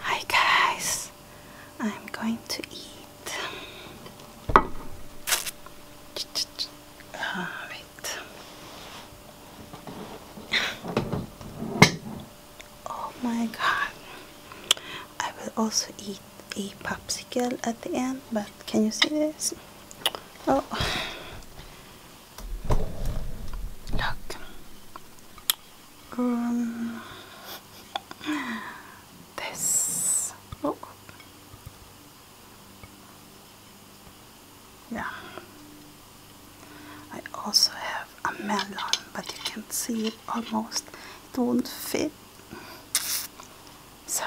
Hi guys, I'm going to eat. Uh, Oh my god. I will also eat a popsicle at the end, but can you see this? Oh. Look um, this oh. yeah I also have a melon but you can see it almost it won't fit so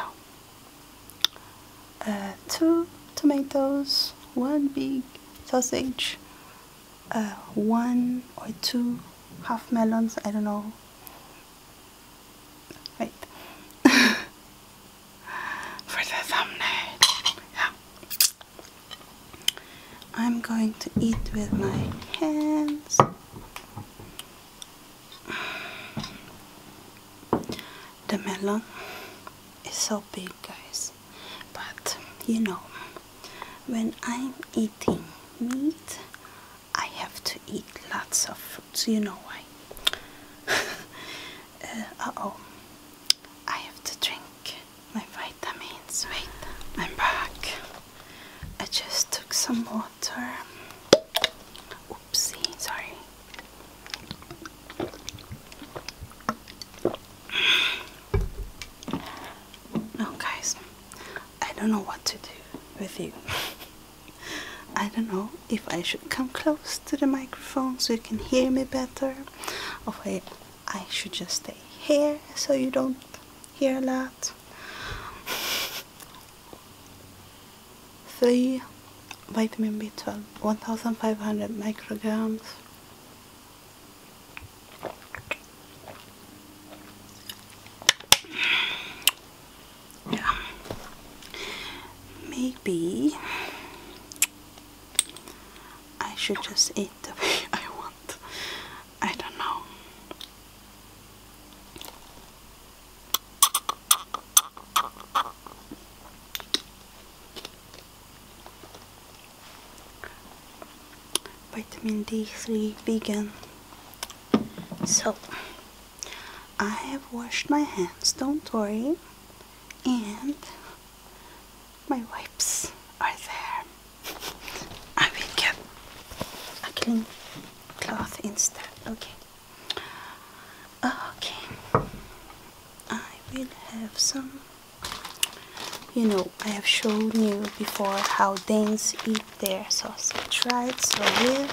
uh, two tomatoes one big sausage uh, one or two half melons, I don't know. Wait. For the thumbnail. Yeah. I'm going to eat with my hands. The melon is so big, guys but you know when I'm eating meat I have to eat lots of fruits you know why uh oh I have to drink my vitamins wait I'm back I just took some water oopsie sorry no, oh, guys, I don't know what to do with you. I don't know if I should come close to the microphone so you can hear me better, or if I should just stay here so you don't hear a lot. Three vitamin B12, 1500 micrograms. Yeah. Maybe I should just eat the way I want. I don't know vitamin D3 vegan so I have washed my hands don't worry and my wipes are there I will get a clean cloth instead okay okay I will have some you know I have shown you before how Danes eat their sausage it. so here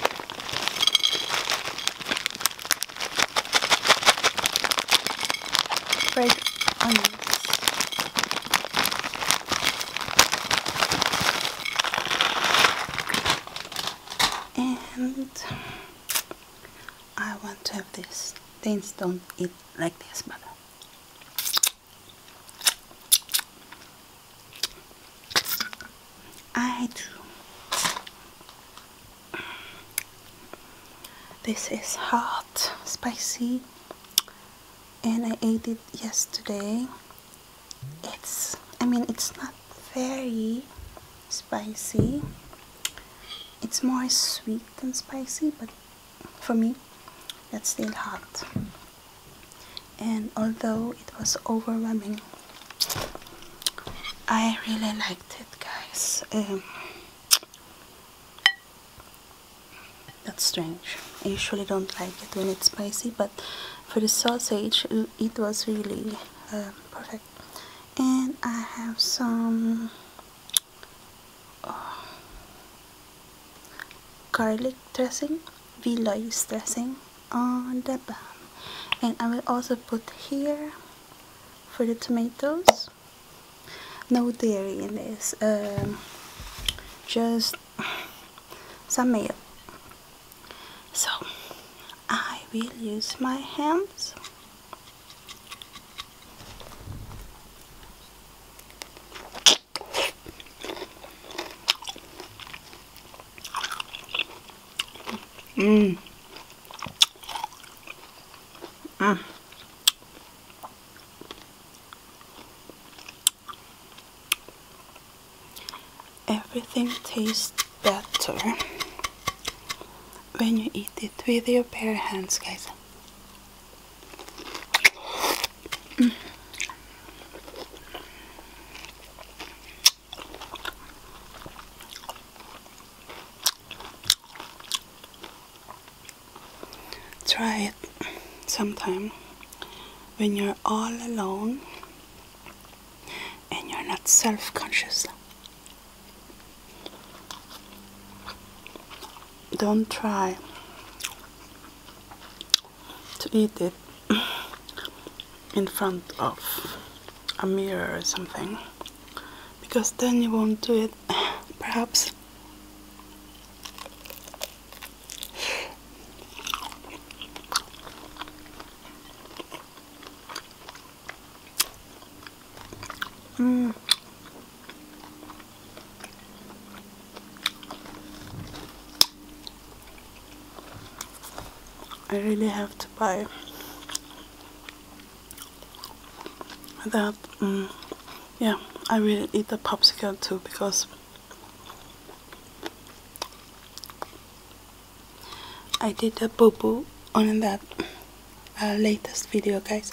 fried onions and I want to have this Danes don't eat like this mother I do. This is hot, spicy, and I ate it yesterday. It's, I mean, it's not very spicy. It's more sweet than spicy, but for me that's still hot and although it was overwhelming I really liked it guys um, that's strange I usually don't like it when it's spicy but for the sausage it was really uh, perfect and I have some garlic dressing, veloise dressing on the bun. And I will also put here for the tomatoes. No dairy in this, um, just some milk. So I will use my hands Mm. Mm. Everything tastes better when you eat it with your bare hands, guys. Try it sometime when you're all alone and you're not self conscious don't try to eat it in front of a mirror or something because then you won't do it perhaps Mm. I really have to buy that. Mm. yeah, I really eat the popsicle too because I did a boo boo on that uh, latest video, guys.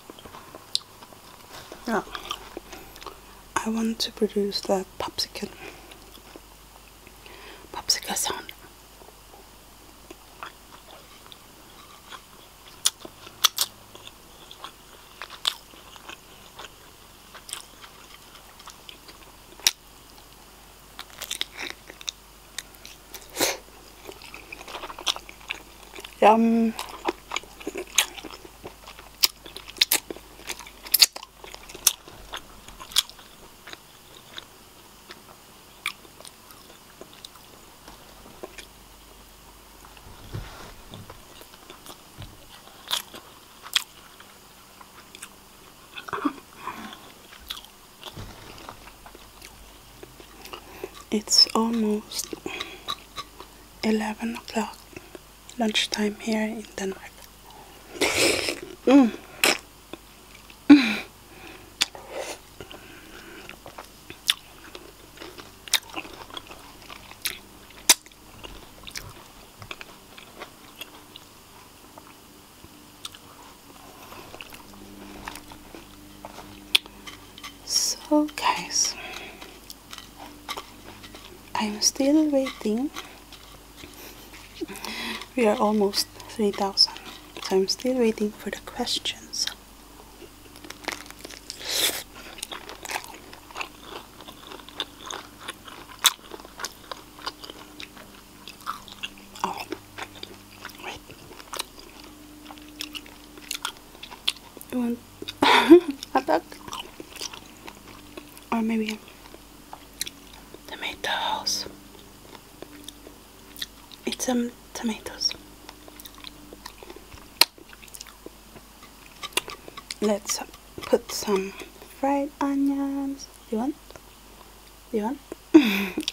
Yeah, I want to produce that popsicle, popsicle sound. Yum. It's almost 11 o'clock lunchtime here in Denmark. Mm. So guys, I'm still waiting. We are almost 3000. So I'm still waiting for the questions. Oh, um, I or maybe tomatoes. Eat some tomatoes. Let's put some fried onions. Do you want? Do you want?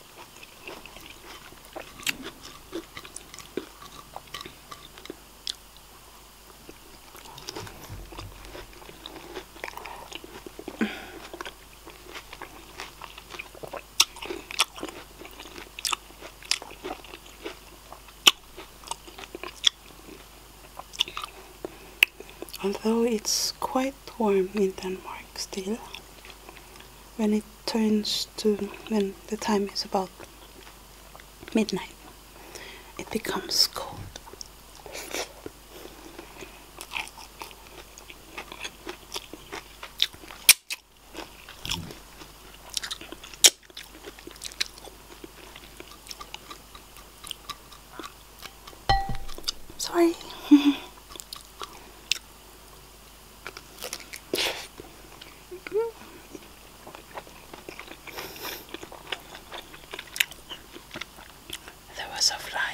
although it's quite warm in Denmark still when it turns when the time is about midnight, it becomes cold. Sorry. There was a fly.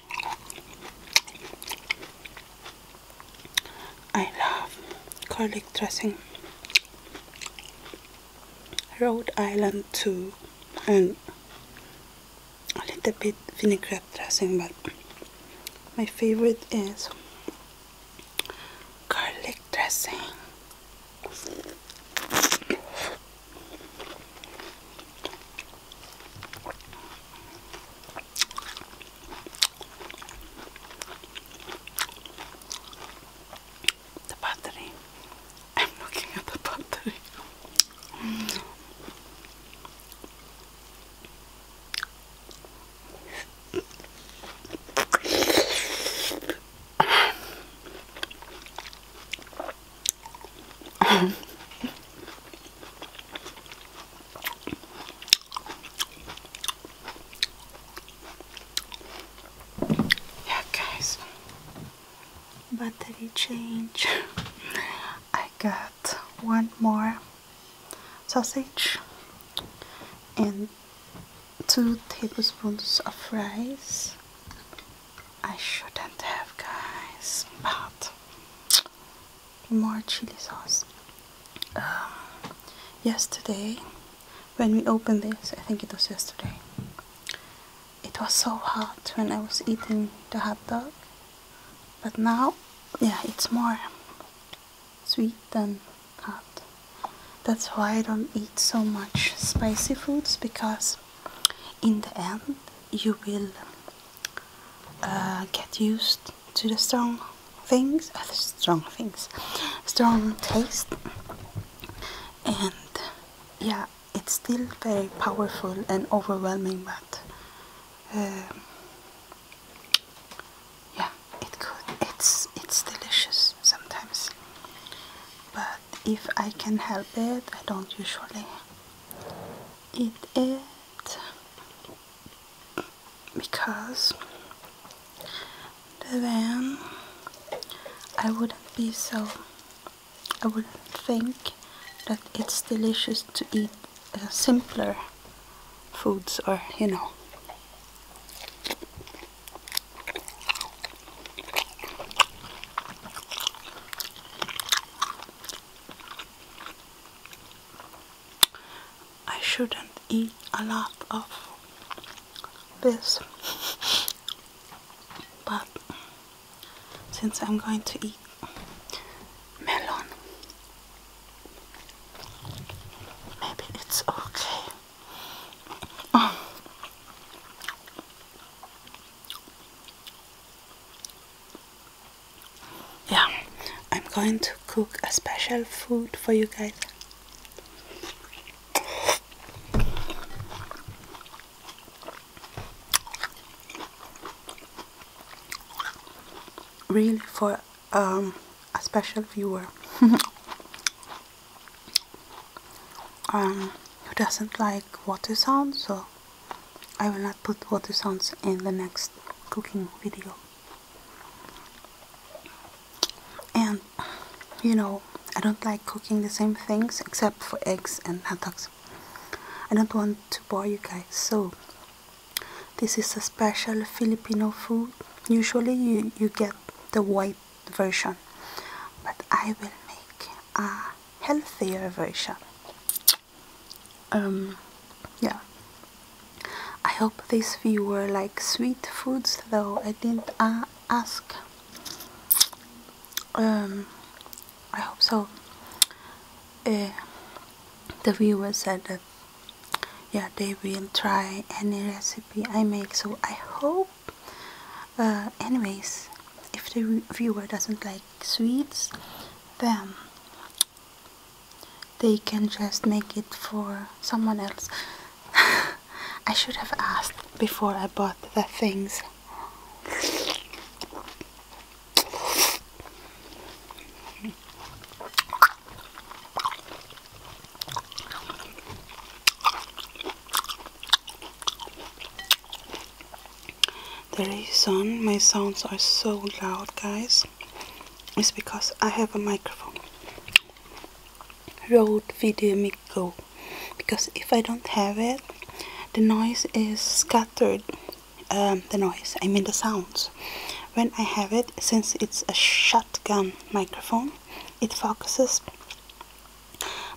I love garlic dressing. Rhode Island too and a little bit vinaigrette dressing but my favorite is garlic dressing. The battery. I'm looking at the battery. yeah, guys, battery change. I got one more sausage and two tablespoons of rice. I shouldn't have, guys, but more chili sauce. Um, yesterday, when we opened this, I think it was yesterday, it was so hot when I was eating the hot dog. But now, yeah, it's more sweet than hot. That's why I don't eat so much spicy foods because in the end you will uh, get used to the strong things, uh, the strong things, strong taste, and yeah, it's still very powerful and overwhelming, but uh, yeah, it could. It's it's delicious sometimes, but if I can help it, I don't usually eat it because then I wouldn't be so I wouldn't think that it's delicious to eat uh, simpler foods or you know I shouldn't eat a lot of this, but since I'm going to eat melon, maybe it's okay yeah I'm going to cook a special food for you guys really for um, a special viewer um, who doesn't like water sounds, so I will not put water sounds in the next cooking video. And you know, I don't like cooking the same things except for eggs and hot dogs. I don't want to bore you guys, so this is a special Filipino food. Usually you, you get the white version, but I will make a healthier version um yeah i hope these few were like sweet foods though i didn't ask um i hope so uh, the viewer said that yeah they will try any recipe i make so i hope uh, anyways if the viewer doesn't like sweets then they can just make it for someone else I should have asked before I bought the things the reason my sounds are so loud, guys, is because I have a microphone. Rode VideoMic Go. Because if I don't have it, the noise is scattered. Um, the noise, I mean the sounds. When I have it, since it's a shotgun microphone, it focuses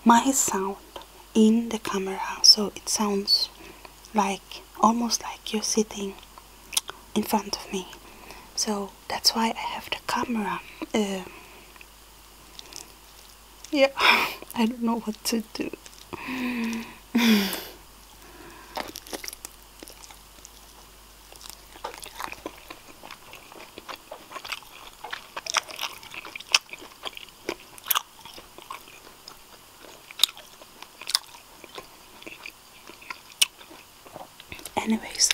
my sound in the camera so it sounds like almost like you're sitting in front of me so that's why I have the camera um, yeah I don't know what to do Anyways,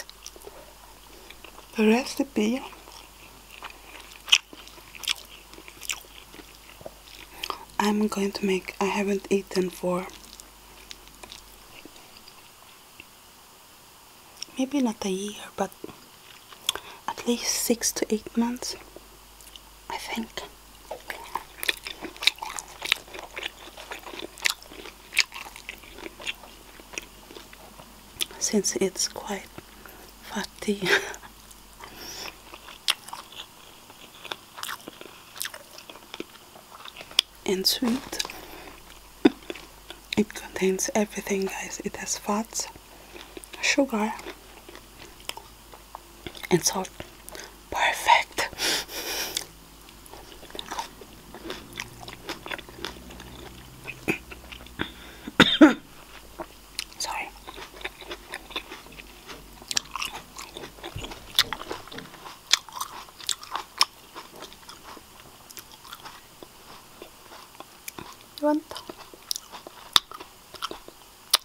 the recipe I'm going to make, I haven't eaten for maybe not a year, but at least six to eight months. I think. Since it's quite fatty. and sweet. It contains everything guys. It has fats, sugar and salt. Perfect. Sorry. You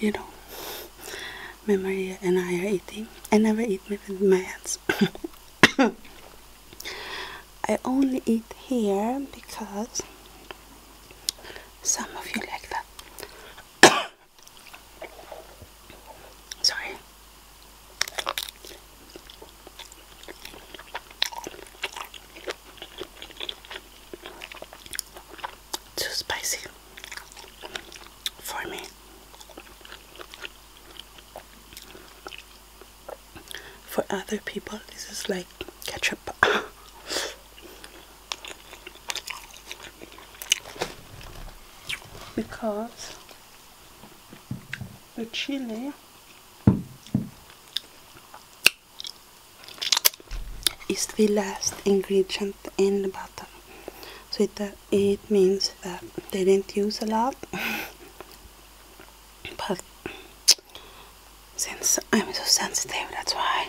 You know, my Maria and I are eating. I never eat with my hands. I only eat here because some of you like that. Sorry. Too spicy for me. For other people, this is like ketchup. because the chili is the last ingredient in the bottom so it, uh, it means that they didn't use a lot but since I'm so sensitive that's why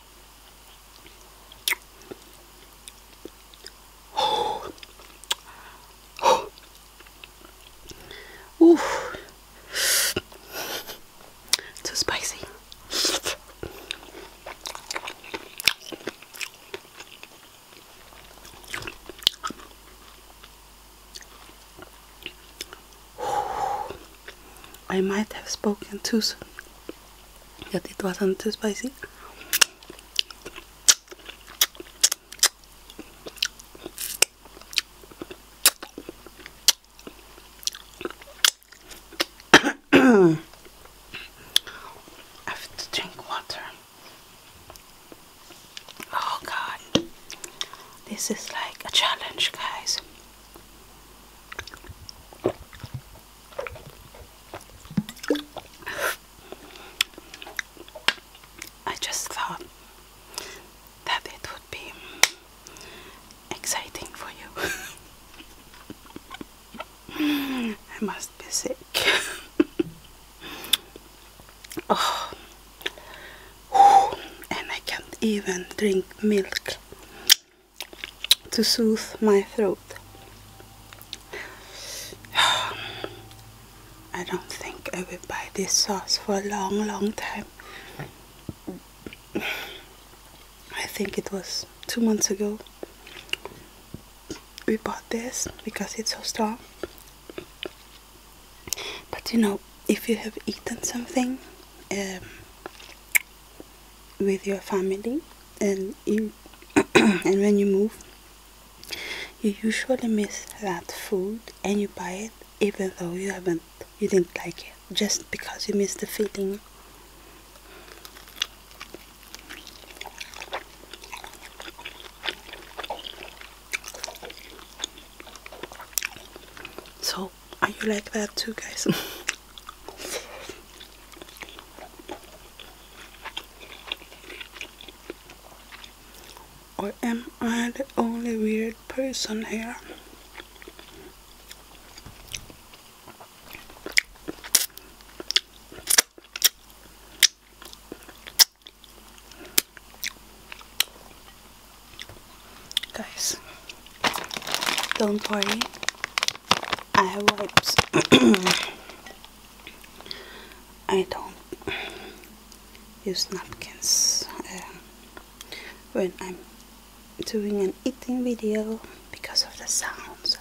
Oh. Oh. Ooh. Too spicy. I might have spoken too soon that it wasn't too spicy I have to drink water. Oh god. This is like a challenge, guys. I just thought that it would be exciting for you. I must be sick. oh. and I can't even drink milk to soothe my throat. I don't think I will buy this sauce for a long, long time. I think it was two months ago we bought this because it's so strong. But you know, if you have eaten something, um, with your family and you and when you move you usually miss that food and you buy it even though you haven't you didn't like it just because you miss the feeling so are you like that too guys Or am I the only weird person here? Guys, don't worry, eye wipes. I don't use napkins um, when I'm doing an eating video because of the sounds.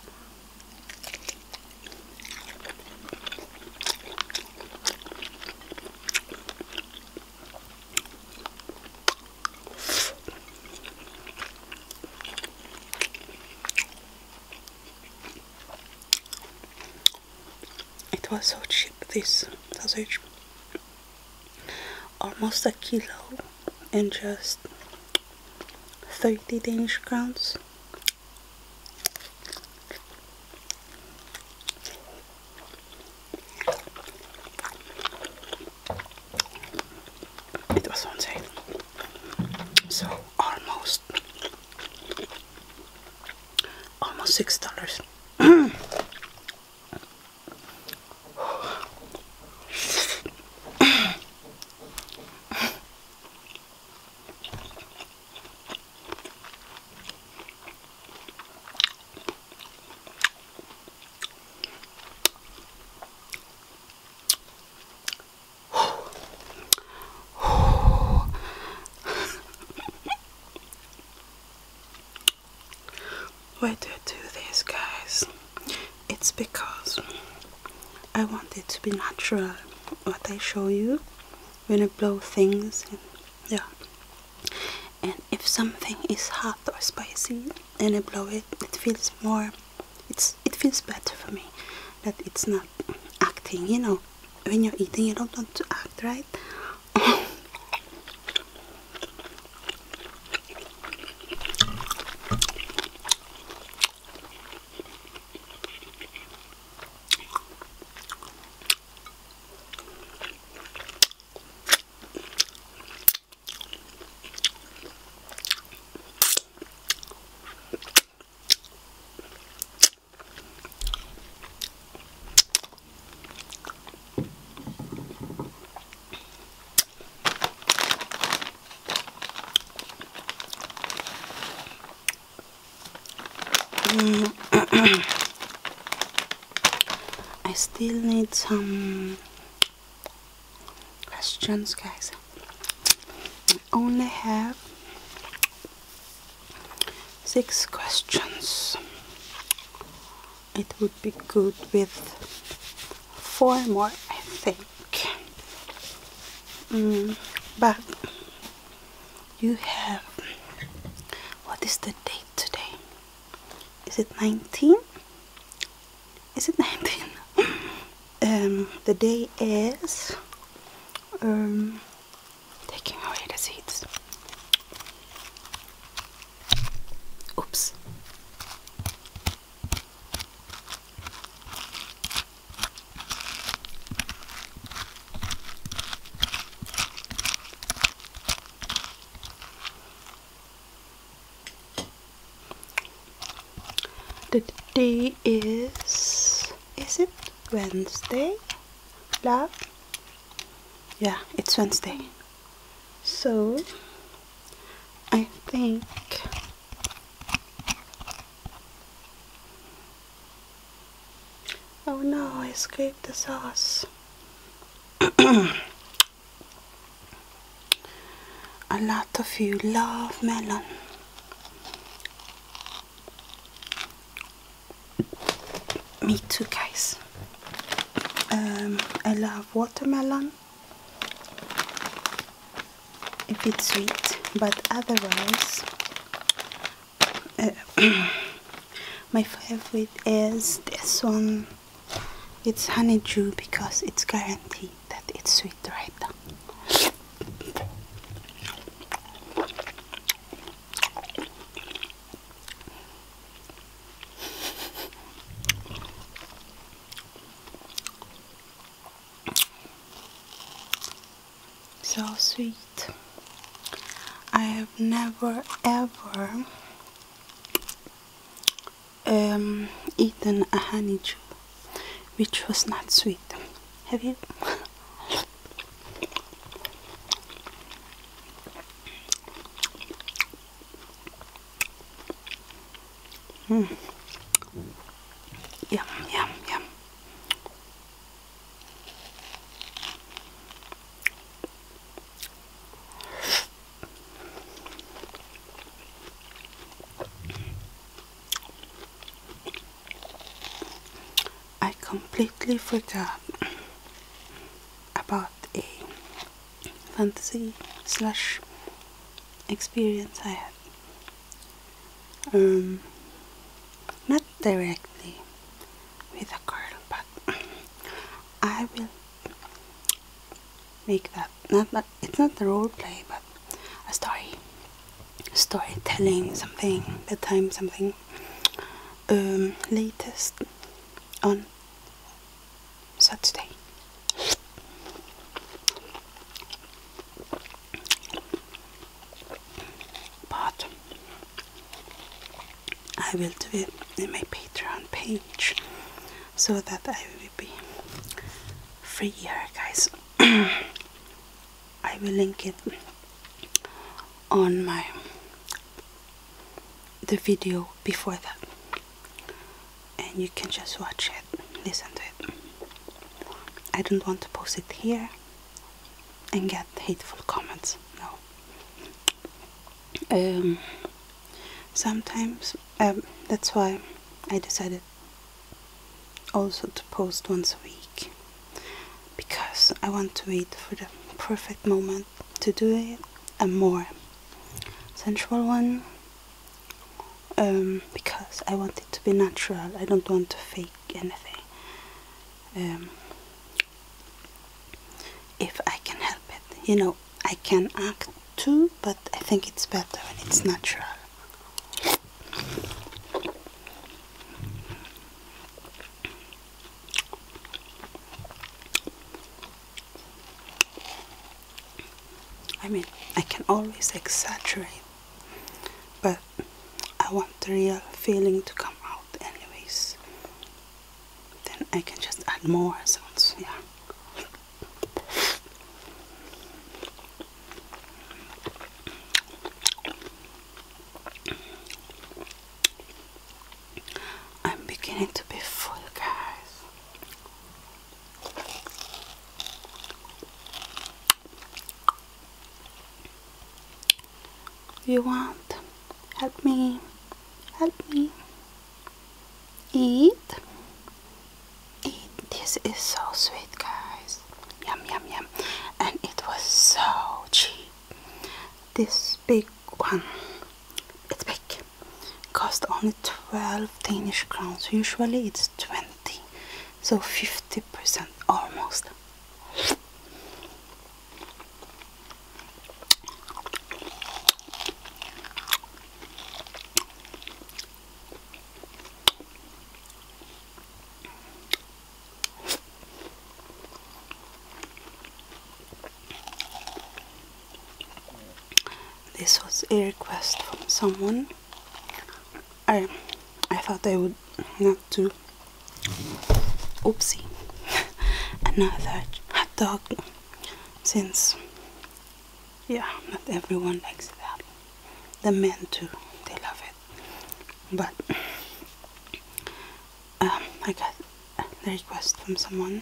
It was so cheap this sausage almost a kilo and just 30 Danish crowns it was on sale. So almost almost six dollars. Why do I do this, guys? It's because I want it to be natural. What I show you when I blow things, yeah. And if something is hot or spicy and I blow it, it feels more it's it feels better for me that it's not acting you know when you're eating you don't want to act right I still need some questions guys I only have six questions it would be good with four more I think mm, but you have what is the date today is it 19 is it 19? Um, the day is um, taking away the seeds. Oops. The day is is it Wednesday? Love? Yeah, it's Wednesday. So I think Oh no, I scraped the sauce. A lot of you love melon. Me too, guys. Um, I love watermelon if it's sweet, but otherwise, uh, my favorite is this one it's honeydew because it's guaranteed that it's sweet right now. So sweet. I have never ever um, eaten a honeydew which was not sweet. Have you? Hmm. Yum, yum, yum. I completely forgot about a fantasy slash experience I had. Um, not directly with a girl, but I will make that not that it's not the role play but a story storytelling something bedtime something um latest on Saturday but I will do it in my Patreon page so that I will be free here guys I will link it on my the video before that and you can just watch it listen to it I don't want to post it here and get hateful comments no um, sometimes um, that's why I decided also to post once a week because I want to wait for the perfect moment to do it a more sensual one um, because I want it to be natural I don't want to fake anything um, if I can help it you know I can act too, but I think it's better when it's natural. I mean, I can always exaggerate, but I want the real feeling to come out anyways. Then I can just add more sounds, yeah. I'm beginning to be full, guys. You want? Help me. Help me eat eat this is so sweet guys yum yum yum and it was so cheap this big one it's big cost only 12 Danish crowns usually it's 20 so 50% almost this was a request from someone. I I thought I would not do oopsie another hot dog since yeah not everyone likes that the men too they love it but um, I got a request from someone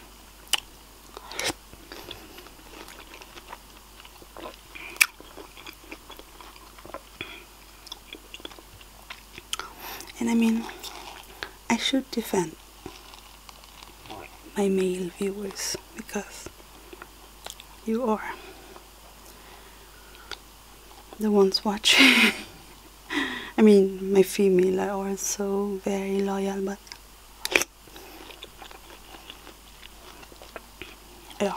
and I mean I should defend my male viewers because you are the ones watching. I mean, my female are also very loyal, but yeah.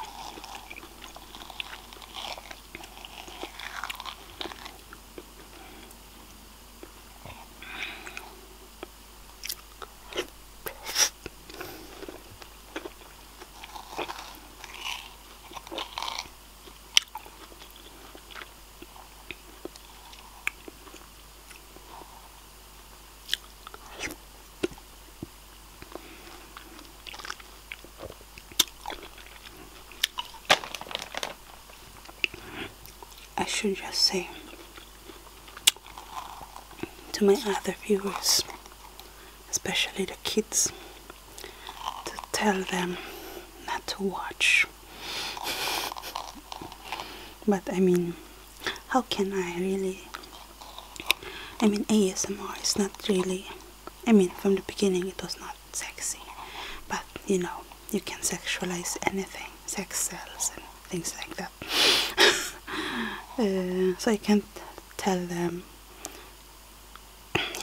I should just say to my other viewers, especially the kids, to tell them not to watch. But I mean, how can I really? I mean, ASMR is not really. I mean, from the beginning it was not sexy, but you know, you can sexualize anything, sex cells and things like that. Uh, so I can't tell them.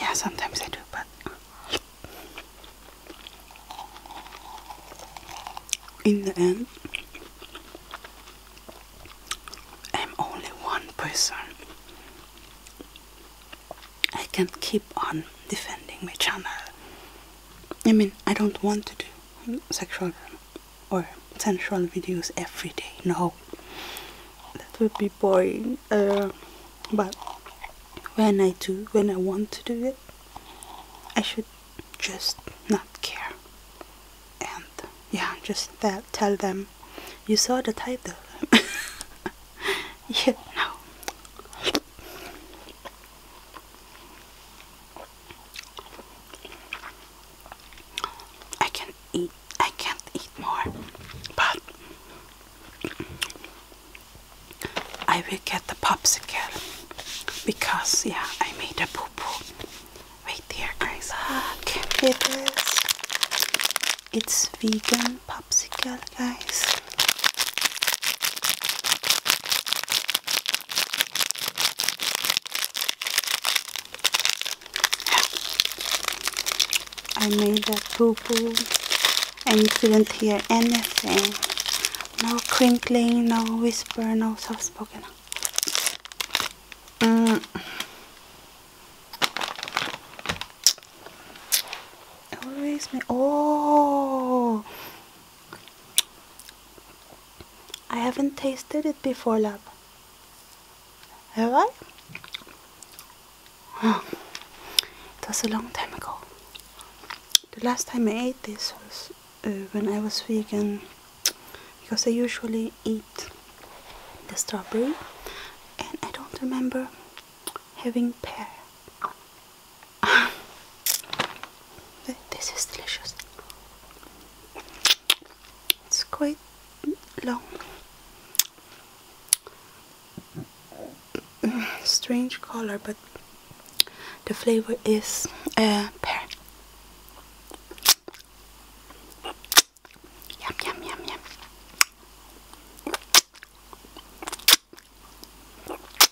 Yeah, sometimes I do, but in the end, I'm only one person. I can't keep on defending my channel. I mean, I don't want to do sexual or sensual videos every day. No, that would be boring. Uh, but when I do, when I want to do it, I should just not care. And yeah, just that, tell them, you saw the title. yeah, no. I can eat I can't eat more but I will get the popsicle because yeah I made a poo poo. Wait here guys look ah, at this it's vegan popsicle guys I made that poo and you couldn't hear anything. No crinkling, no whisper, no soft spoken. Mm. Oh! I haven't tasted it before, love. Have I? Oh, it was a long time ago. The last time I ate this was uh, when I was vegan because I usually eat the strawberry and I don't remember having pear this is delicious. It's quite long. Strange color, but the flavor is uh, pear. Yum, yum, yum, yum.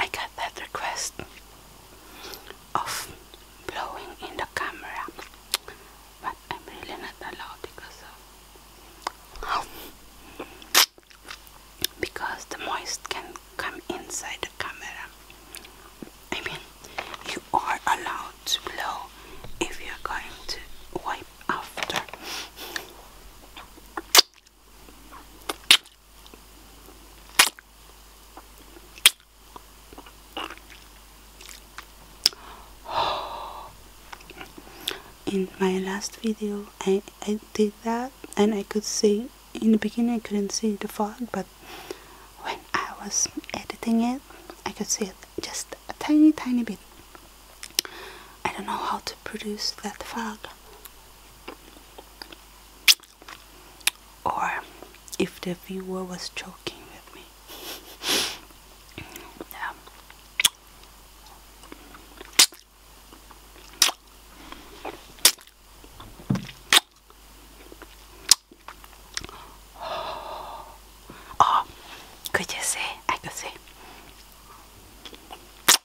I got that request of blowing in the camera, but I'm really not allowed because of because the moist can come inside the camera. I mean, you are allowed to blow if you're going to wipe after. in my last video I, I did that and I could see in the beginning I couldn't see the fog but when I was editing it I could see it just a tiny tiny bit I don't know how to produce that fog. Or if the viewer was joking with me. yeah. Oh, could you see? I could see.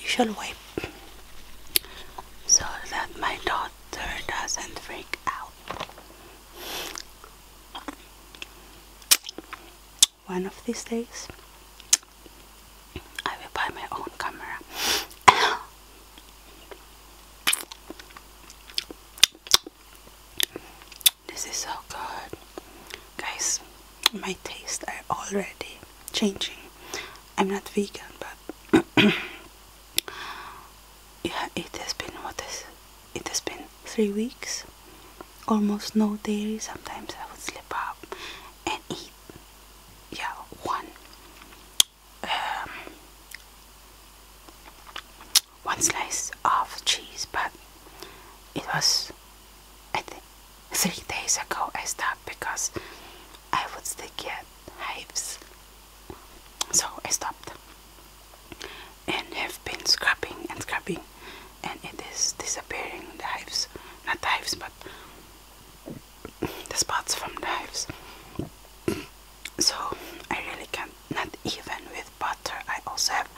You shall wipe so that my daughter doesn't freak out. One of these days, I will buy my own camera. This is so good. Guys, my tastes are already changing. I'm not vegan, but yeah, it has been what is it has been three weeks. Almost no dairy. Sometimes I would slip up and eat. Yeah, one. Um, one slice of cheese, but it was I think three days ago I stopped because I would still get hives. So I stopped and have been scrapping and scrapping, and it is disappearing the hives. Not the hives but the spots from hives. So I really can't not even with butter I also have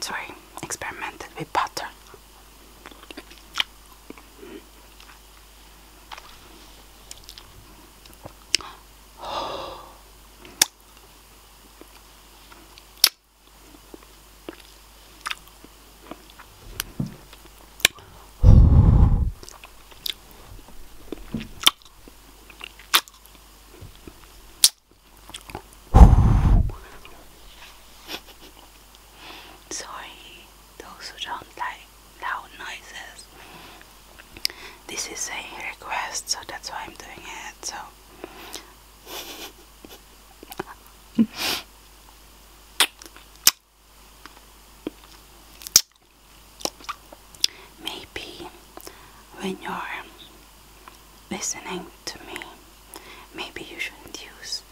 sorry, experimented with butter. Sorry, those who don't like loud noises. This is a request, so that's why I'm doing it. So. Maybe when you're listening to me. Maybe you shouldn't use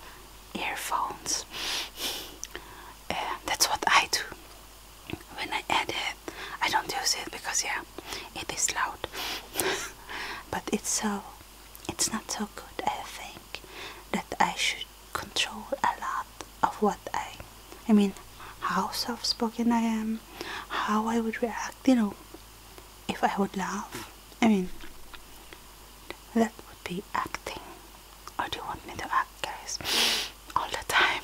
earphones. uh, that's what I do. When I edit, I don't use it because, yeah, it is loud. but it's so, it's not so good, I think, that I should control a lot of what I, I mean, how soft spoken I am, how I would react, you know if I would laugh. I mean, that would be acting. Or do you want me to act, guys? All the time.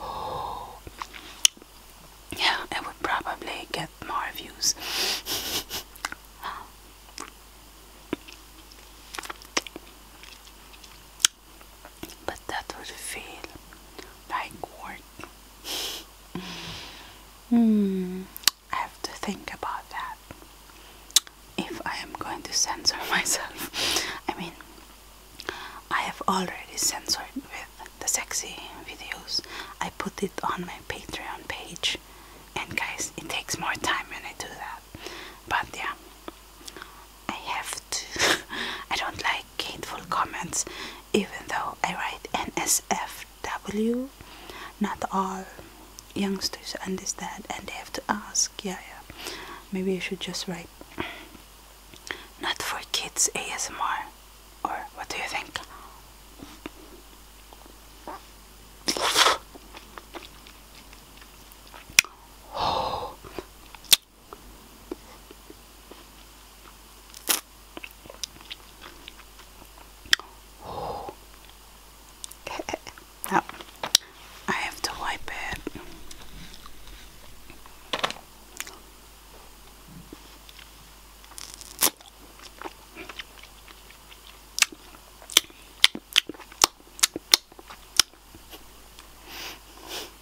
oh. Yeah, I would probably get more views but that would feel like work. Hmm, I have to think about that. If I am going to censor myself, I mean, I have already censored with the sexy videos. I put it on my Patreon page, and guys, it takes more time when I do that. But yeah, I have to. I don't like hateful comments, even though I write NSFW. Not all youngsters understand, and they have to ask. Yeah, yeah. Maybe I should just write not for kids ASMR, or what do you think? Oh. Oh. now, I have to wipe it.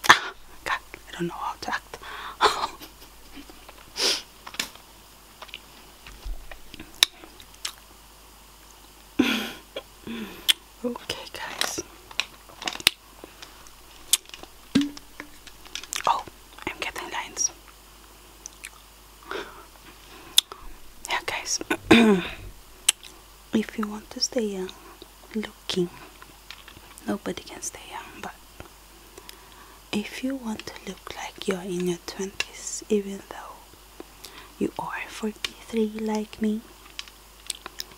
God, I don't know how to okay, guys. Oh, I'm getting lines. Yeah, guys. if you want to stay young uh, looking nobody can stay young uh, but if you want to look like you're in your 20s even though you are 43 like me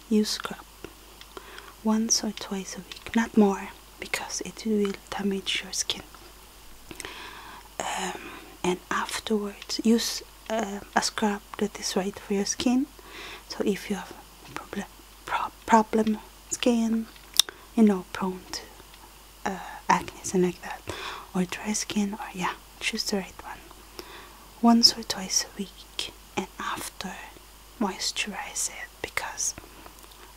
you scrub once or twice a week not more because it will damage your skin um, and afterwards use uh, a scrub that is right for your skin so if you have problem problem skin you know prone to uh, acne and like that or dry skin or yeah choose the right one once or twice a week and after moisturize it because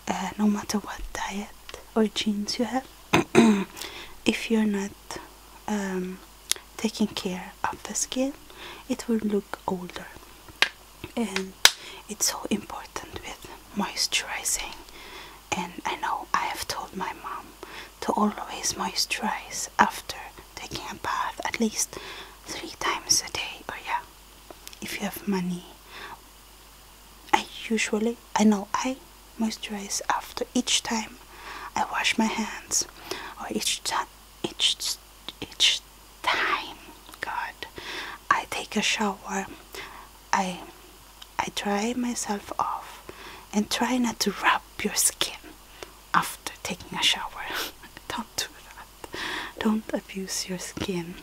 uh, no matter what diet or genes you have if you're not um, taking care of the skin it will look older and it's so important with moisturizing and I know I have told my mom to always moisturize after taking a bath at least three times a day or yeah if you have money I usually I know I moisturize after each time I wash my hands, or oh, each time, each, each time, God, I take a shower. I, I dry myself off, and try not to rub your skin after taking a shower. Don't do that. Don't abuse your skin.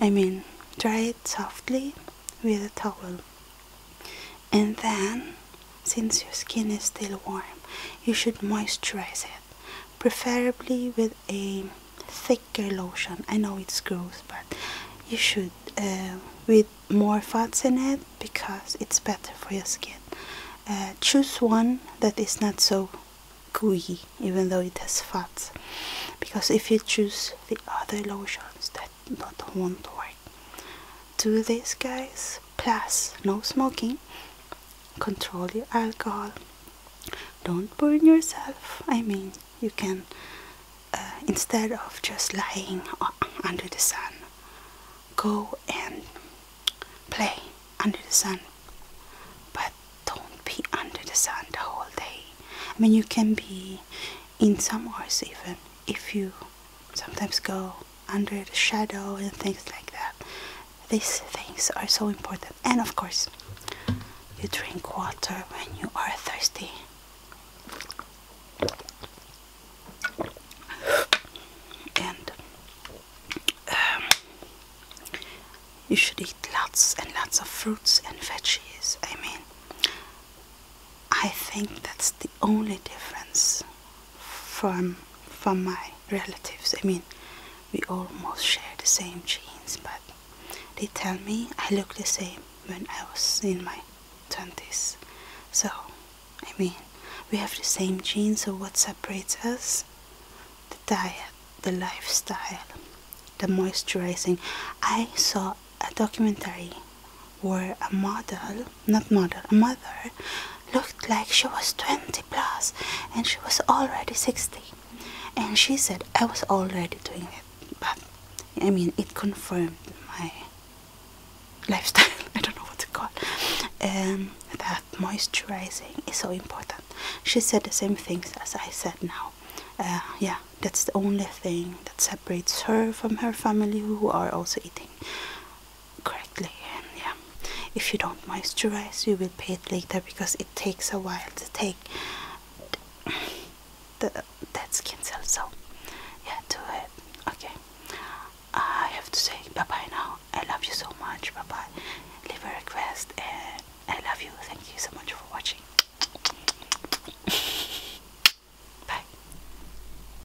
I mean, dry it softly with a towel and then since your skin is still warm you should moisturize it preferably with a thicker lotion i know it's gross but you should uh, with more fats in it because it's better for your skin uh, choose one that is not so gooey even though it has fats because if you choose the other lotions that do not want to work do this, guys. Plus, no smoking. Control your alcohol. Don't burn yourself. I mean, you can uh, instead of just lying under the sun, go and play under the sun. But don't be under the sun the whole day. I mean, you can be in some hours even if you sometimes go under the shadow and things like that. These things are so important. And of course, you drink water when you are thirsty. And um, you should eat lots and lots of fruits and veggies. I mean, I think that's the only difference from from my relatives. I mean, we almost share the same genes, but they tell me I look the same when I was in my 20s. So, I mean, we have the same genes, so what separates us? The diet, the lifestyle, the moisturizing. I saw a documentary where a model, not model, a mother looked like she was 20 plus and she was already 60. And she said, I was already doing it, but I mean, it confirmed my lifestyle. I don't know what to call Um, that moisturizing is so important. She said the same things as I said now. Uh, yeah, that's the only thing that separates her from her family who are also eating correctly and yeah if you don't moisturize you will pay it later because it takes a while to take the, that skin cell so yeah do it okay I have to say bye bye now I love you so much bye bye leave a request and I love you thank you so much for watching bye